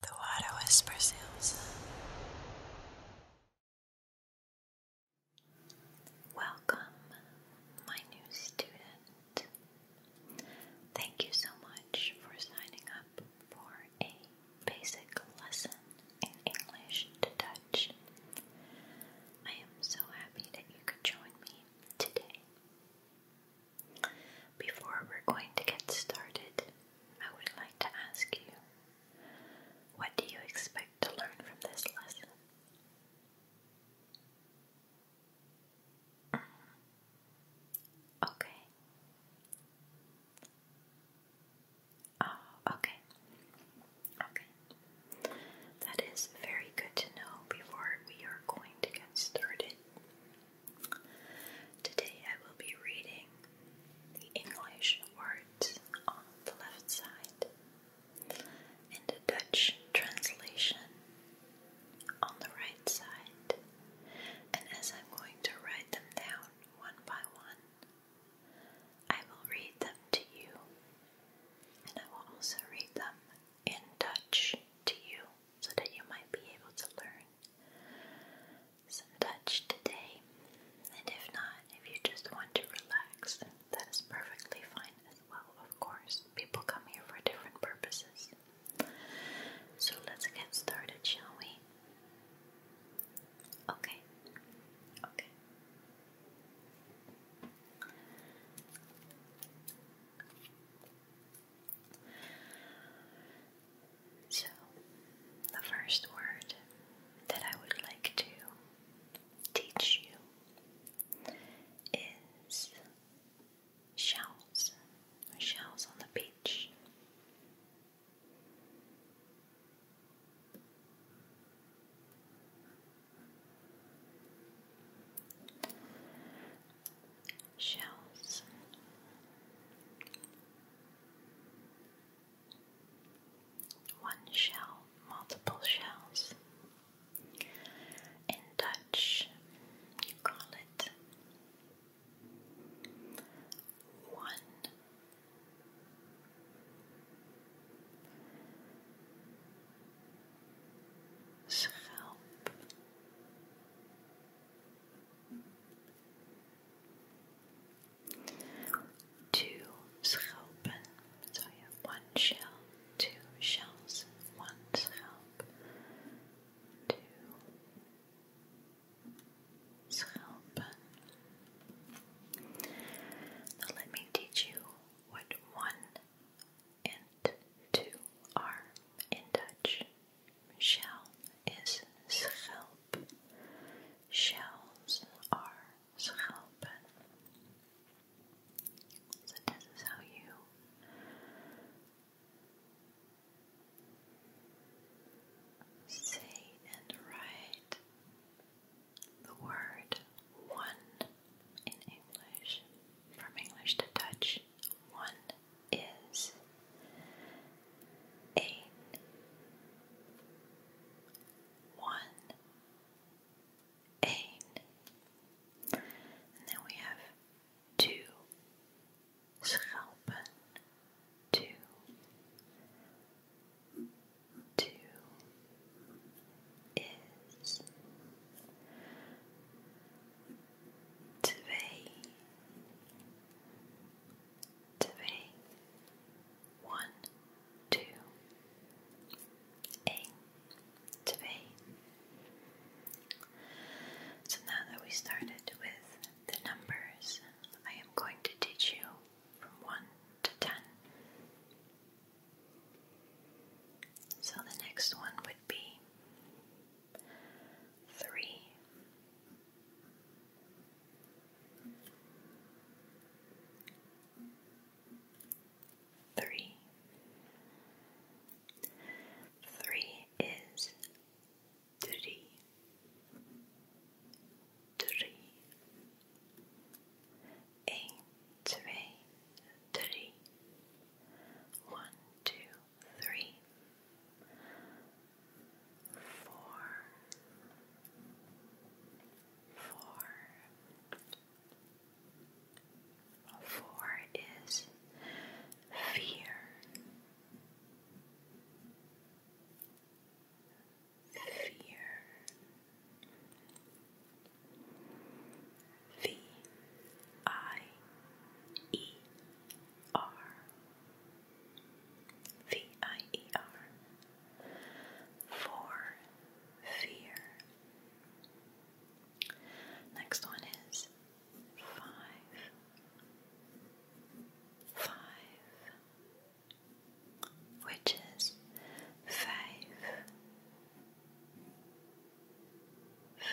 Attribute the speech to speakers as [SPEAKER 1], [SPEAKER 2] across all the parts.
[SPEAKER 1] The water whispers hills. Welcome, my new student. Thank you so much for signing up for a basic lesson in English to Dutch. I am so happy that you could join me today. Before we're going to get started, I would like to ask you what do you expect to learn from this lesson? Okay. Oh, okay. Okay. That is very good to know before we are going to get started. Today I will be reading the English words on the left side and the Dutch translation on the right side. And as I'm going to write them down one by one, I will read them to you and I will also read them in Dutch to you so that you might be able to learn touch today. And if not, if you just want to relax, that is perfectly fine as well, of course. People come here for different purposes. So let's get started, shall we? Okay. Okay. So, the first word that I would like to teach you is shells, shells on the beach shells. One shell, multiple shells. In Dutch, you call it one schelp. Two schelpen. So you have one shell, two shells, one schelp. Two schelpen. Now let me teach you what one and two are in Dutch. Shell is schelp. Shells are schelpen. So this is how you say and write the word one in English, from English to Dutch one is eight, one, eight, and then we have two schelpen, two, two is twee, twee, one, two, één, twee. So now that we started with the numbers, I am going to teach you from one to ten. So the next one would be three. Three. Three is three. Three. Eight, three, three. One, two, three, four, four. Four is fear. Fear. V I E R. V I E R. For fear. Next one is five. Five. Which is five, five,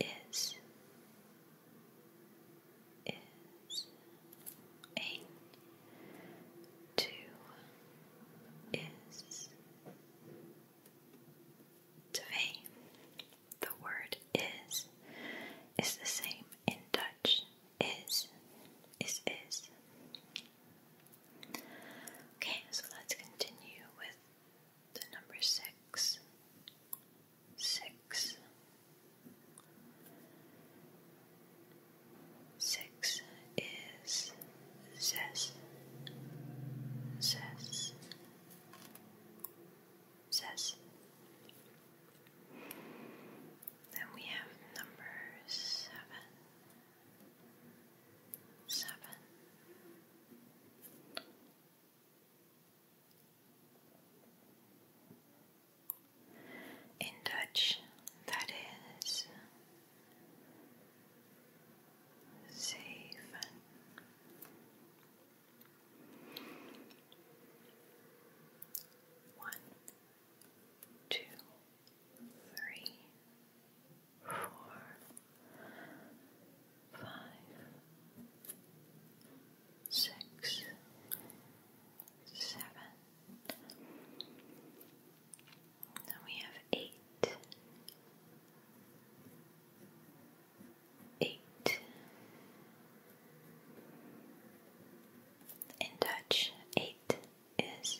[SPEAKER 1] is is eight two is twee. The word is is the same in Dutch. Is is is. Okay, so let's continue with the number six, six, six is zest, zest, zest. Then we have number seven, seven. In Dutch, that is zeven four, five, six, seven. Then we have eight, eight. In Dutch, eight is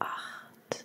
[SPEAKER 1] acht.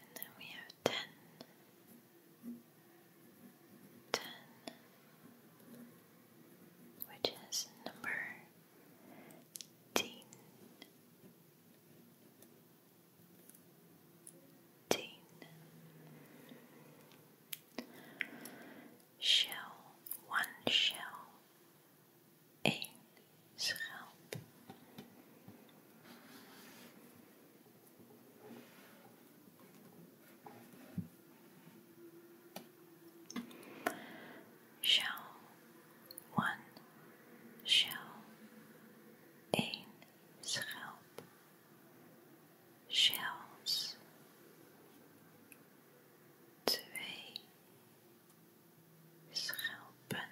[SPEAKER 1] And then we have ten. which is number teen. Shell, one shell, één schelp. Shell one shell één schelp shells twee schelpen,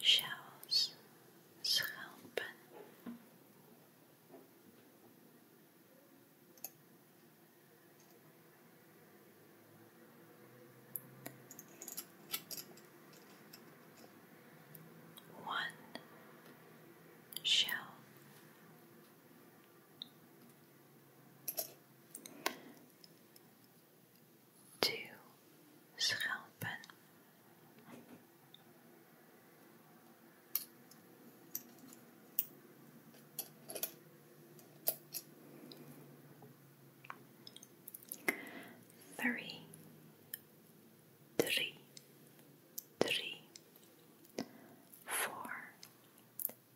[SPEAKER 1] shells, schelpen. One shell Two schelpen. Three, three, three, four,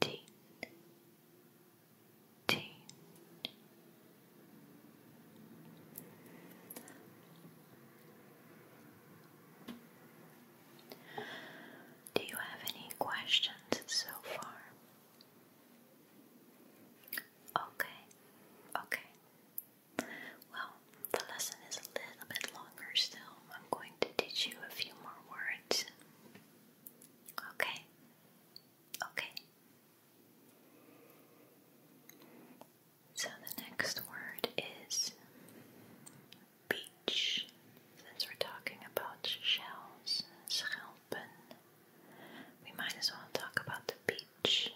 [SPEAKER 1] teen, teen. Do you have any questions so far? Okay, okay. Well, the lesson is a little bit longer still. I'm going to teach you a few more words. Okay. Okay. So the next word is beach. Since we're talking about shells, schelpen, we might as well talk about the beach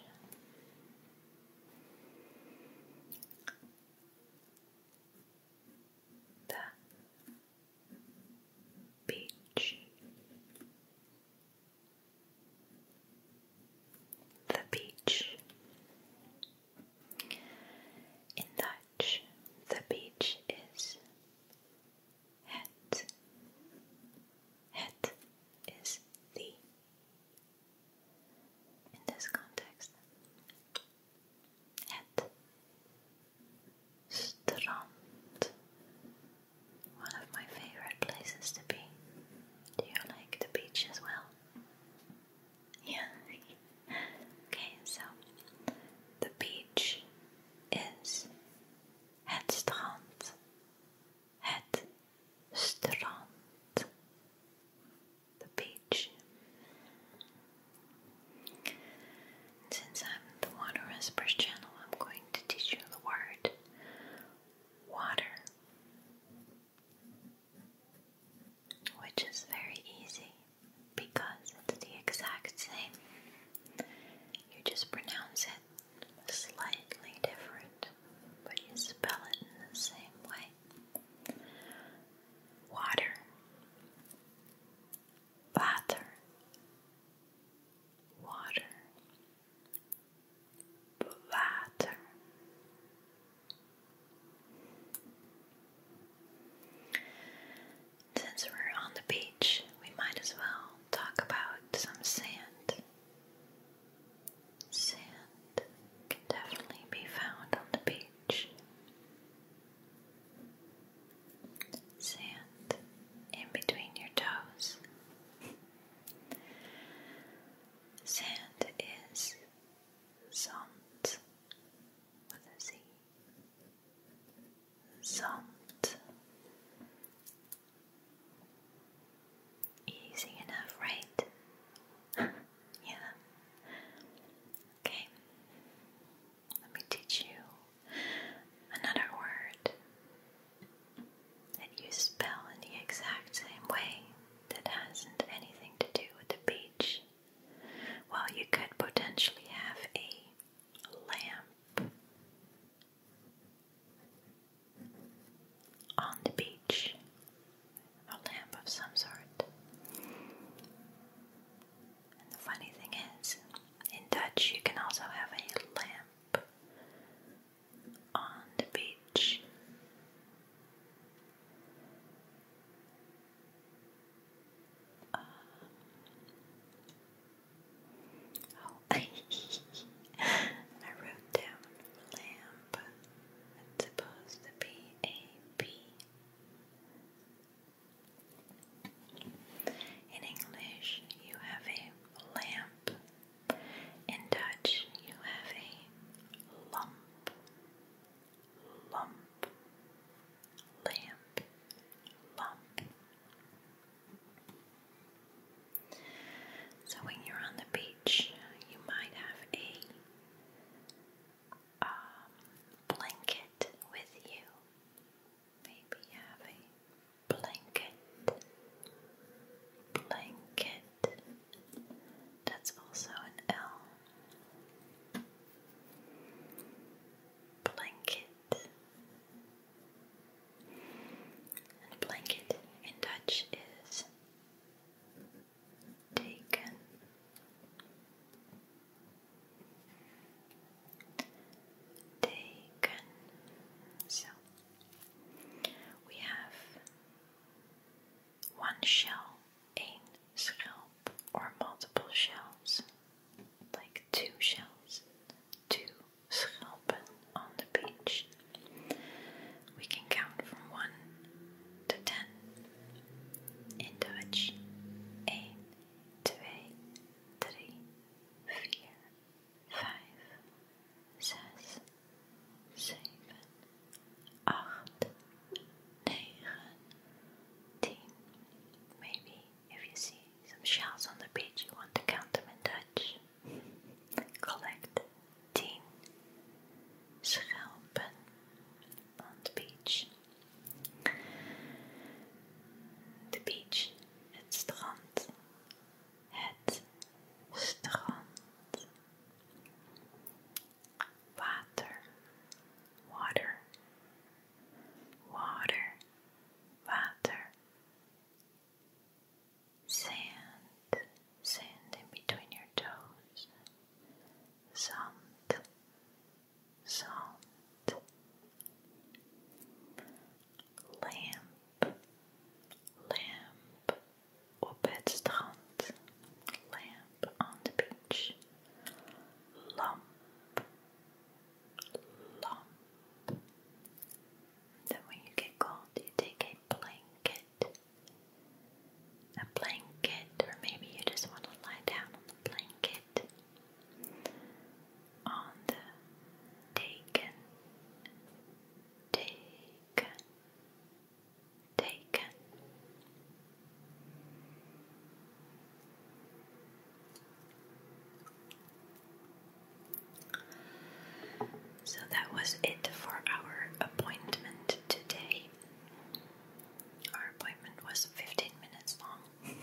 [SPEAKER 1] the beach, the beach. In Dutch, the beach is het. Het is the. In this context, at Strand, one of my favorite places to be. Do you like the beach as well? Yeah. okay, so the beach is Het Strand. Het Strand the beach. since I'm the Water Whisper's channel, I'm going to teach you the word water, which is very easy because it's the exact same. You just pronounce it slightly different, but you spell it in the same way water, butter, water, butter. Since we're on the beach, we might as well talk about some sand. Sand can definitely be found on the beach sand in between your toes. Sand is zand with a Z. Zand. Easy enough, right? yeah. Okay, let me teach you another word that you spell in the exact same way that hasn't anything to do with the beach. Well, you could potentially have a lamp on the beach a lamp of some sort. And the funny thing is, in Dutch, you can also have a lamp on the beach. oh, I wrote down lamp. It's supposed to be a B in English, you have a lamp. In Dutch, you have a lump. Lump. Lamp. Lump. So when you're on the beach, you might have a um, blanket with you. Maybe you blanket. Blanket. That's also an L. Blanket. And blanket in Dutch is taken. Taken. So we have one shell, één schelp, or multiple shells, like two shells, two schelpen on the beach we can count from 1 to 10. In Dutch, 1, 2, 3, 4, 5, 6, 7, 8, 9, 10. Maybe if you see some shells on the beach, you want to count them in Dutch. Collect 10 schelpen on the beach. The beach, het strand, het strand. Water, water, water, water. Sand, sand in between your toes. Zand, zand. Lamp, Lamp on the beach. Lamp, lamp. Then when you get cold, you take a blanket a blanket, or maybe you just want to lie down on the blanket on the taken, taken, taken. So that was it for our appointment today. Our appointment was 15 minutes long.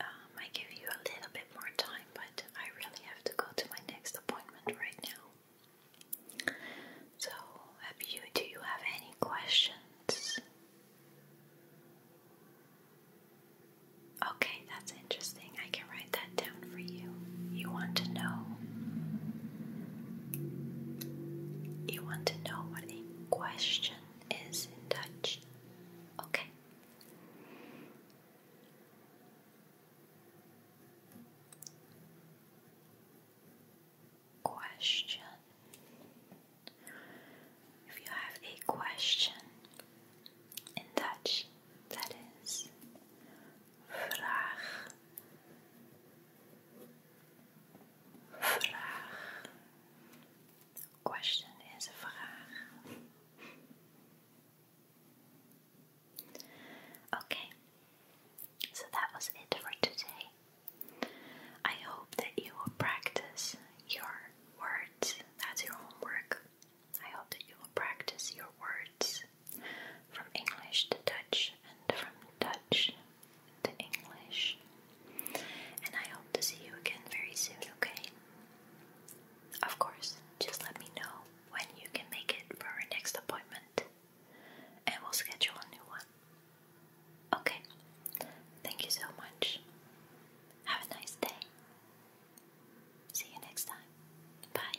[SPEAKER 1] Um, I give you a little bit more time, but I really have to go to my next appointment right now. So, have you, do you have any questions? Okay, that's interesting. I can write that down for you. You want to know you want to know what a question is in Dutch? Okay. Question. If you have a question in Dutch, that is vraag, vraag. Question is een vraag. Okay, so that was it for today. I hope that you will practice your words. That's your homework. I hope that you will practice your words from English to Dutch and from Dutch to English. And I hope to see you again very soon, okay? Of course, just let me know when you can make it for our next appointment and we'll schedule a new one. Okay, thank you so much. Have a nice day. See you next time. Bye.